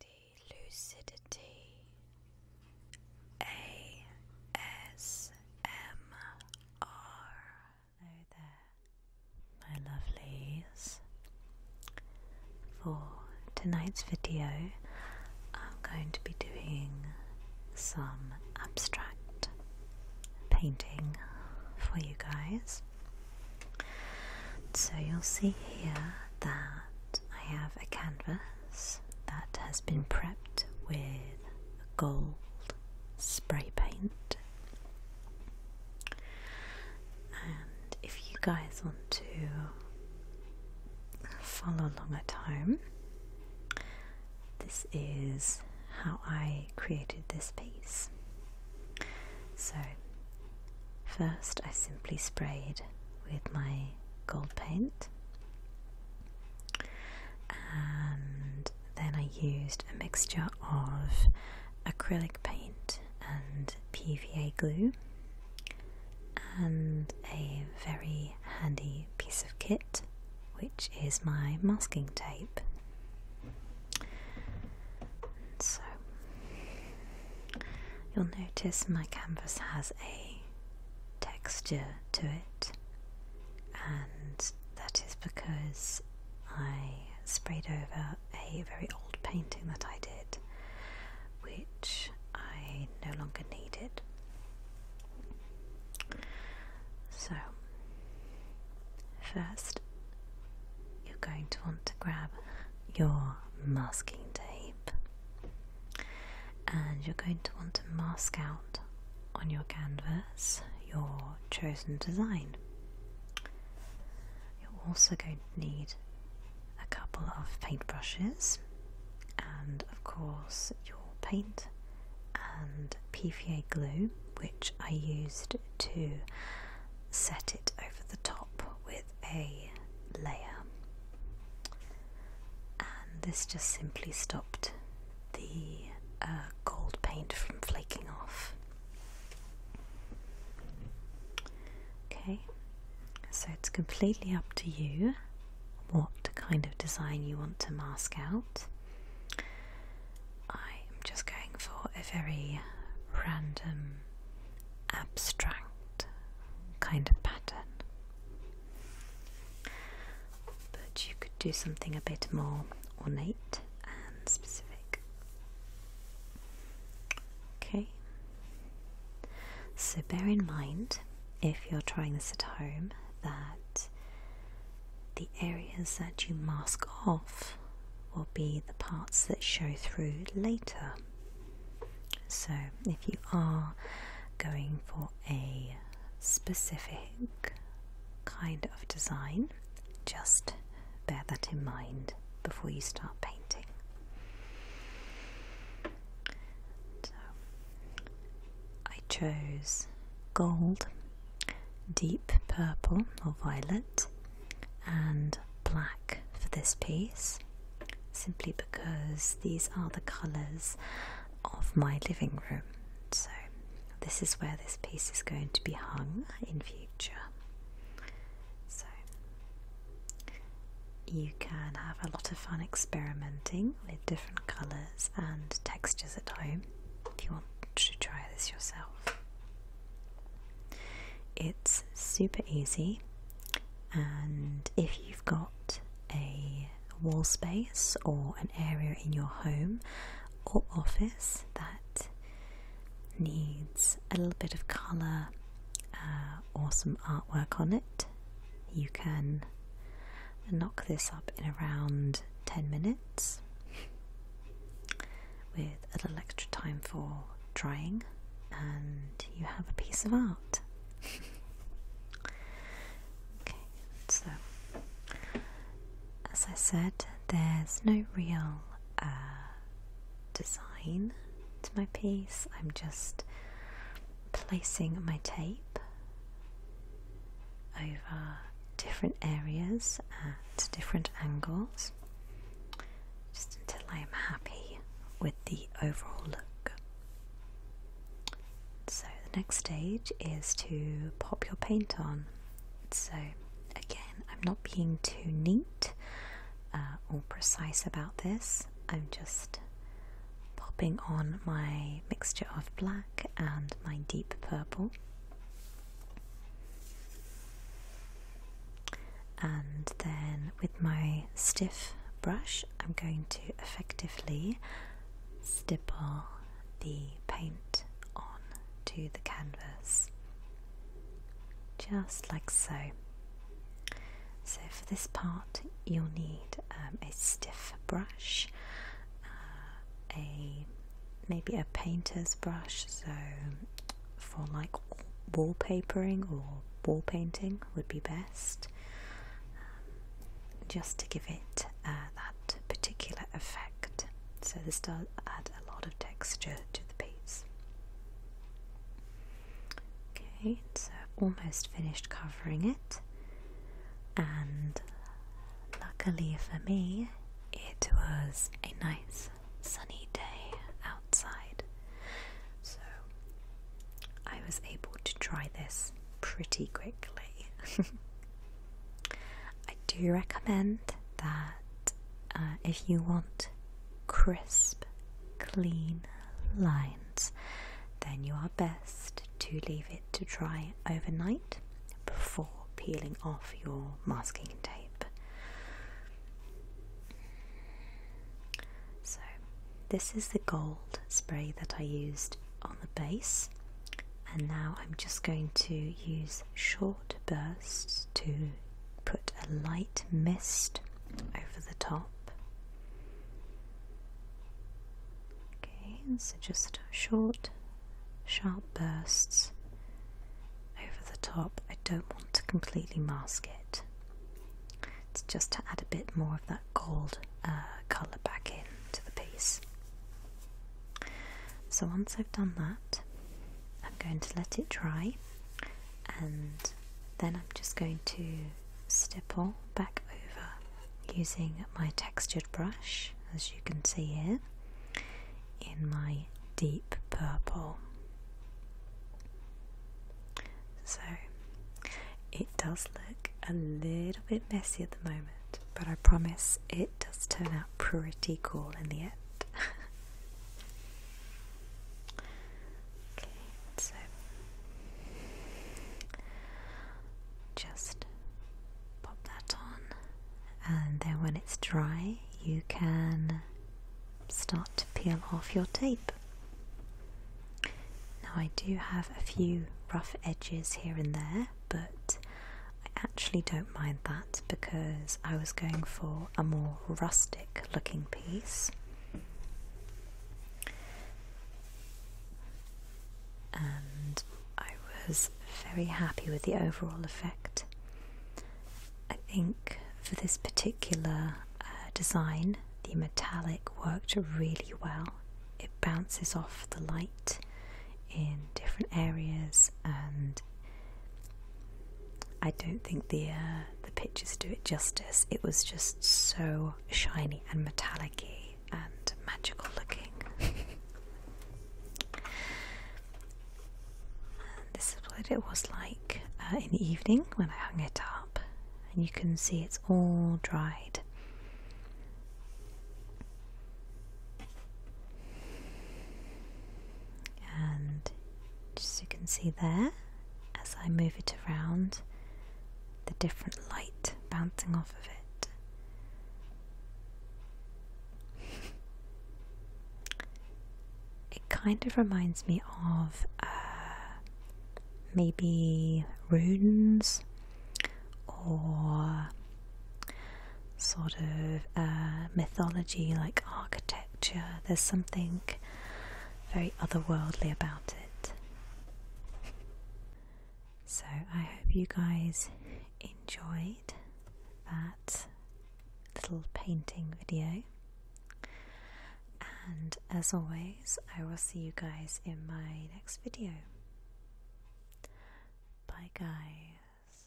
Lady Lucidity ASMR. Hello there, my lovelies. For tonight's video, I'm going to be doing some abstract painting for you guys. So you'll see here that I have a canvas that has been prepped with gold spray paint. And if you guys want to follow along at home, this is how I created this piece. So First, I simply sprayed with my gold paint, and then I used a mixture of acrylic paint and PVA glue, and a very handy piece of kit which is my masking tape. So you'll notice my canvas has a texture to it, and that is because I sprayed over a very old painting that I did, which I no longer needed. So, first you're going to want to grab your masking tape and you're going to want to mask out on your canvas your chosen design. You're also going to need a couple of paintbrushes and of course your paint and PVA glue which I used to set it over the top with a layer. And this just simply stopped the uh, gold paint from flaking off. Okay, so it's completely up to you what kind of design you want to mask out. I am just going for a very random, abstract kind of pattern. But you could do something a bit more ornate and specific. Okay. So bear in mind, if you're trying this at home, that the areas that you mask off will be the parts that show through later. So if you are going for a specific kind of design, just bear that in mind before you start painting. So I chose gold deep purple or violet and black for this piece simply because these are the colours of my living room so this is where this piece is going to be hung in future so you can have a lot of fun experimenting with different colours and textures at home if you want to try this yourself. It's super easy, and if you've got a wall space or an area in your home or office that needs a little bit of colour uh, or some artwork on it, you can and knock this up in around 10 minutes with a little extra time for drying, and you have a piece of art. okay, so as I said, there's no real uh, design to my piece, I'm just placing my tape over different areas at different angles just until I am happy with the overall look. So the next stage is to pop your paint on. So again, I'm not being too neat uh, or precise about this. I'm just popping on my mixture of black and my deep purple and then with my stiff brush I'm going to effectively stipple the paint on to the canvas just like so so for this part you'll need um, a stiff brush, uh, a maybe a painter's brush, so for like wallpapering or wall painting would be best, um, just to give it uh, that particular effect. So this does add a lot of texture to the piece. Okay, so almost finished covering it, and luckily for me, it was a nice sunny day outside, so I was able to dry this pretty quickly. I do recommend that uh, if you want crisp, clean lines then you are best to leave it to dry overnight before peeling off your masking tape. So, this is the gold spray that I used on the base, and now I'm just going to use short bursts to put a light mist over the top Okay, and so just short, sharp bursts over the top. I don't want to completely mask it. It's just to add a bit more of that gold uh, colour back in to the piece. So once I've done that, I'm going to let it dry and then I'm just going to stipple back over using my textured brush as you can see here in my deep purple so it does look a little bit messy at the moment but I promise it does turn out pretty cool in the end Okay, so just pop that on, and then when it's dry, you can start to peel off your tape. Now, I do have a few rough edges here and there, but I actually don't mind that because I was going for a more rustic looking piece. And I was very happy with the overall effect. I think for this particular uh, design, the metallic worked really well. It bounces off the light in different areas and I don't think the uh, the pictures do it justice. It was just so shiny and metallicy and magical looking. this is what it was like uh, in the evening when I hung it up, and you can see it's all dried and as you can see there as I move it around the different light bouncing off of it it kind of reminds me of uh, maybe runes or sort of uh, mythology like architecture there's something very otherworldly about it. So I hope you guys enjoyed that little painting video. And as always, I will see you guys in my next video. Bye, guys.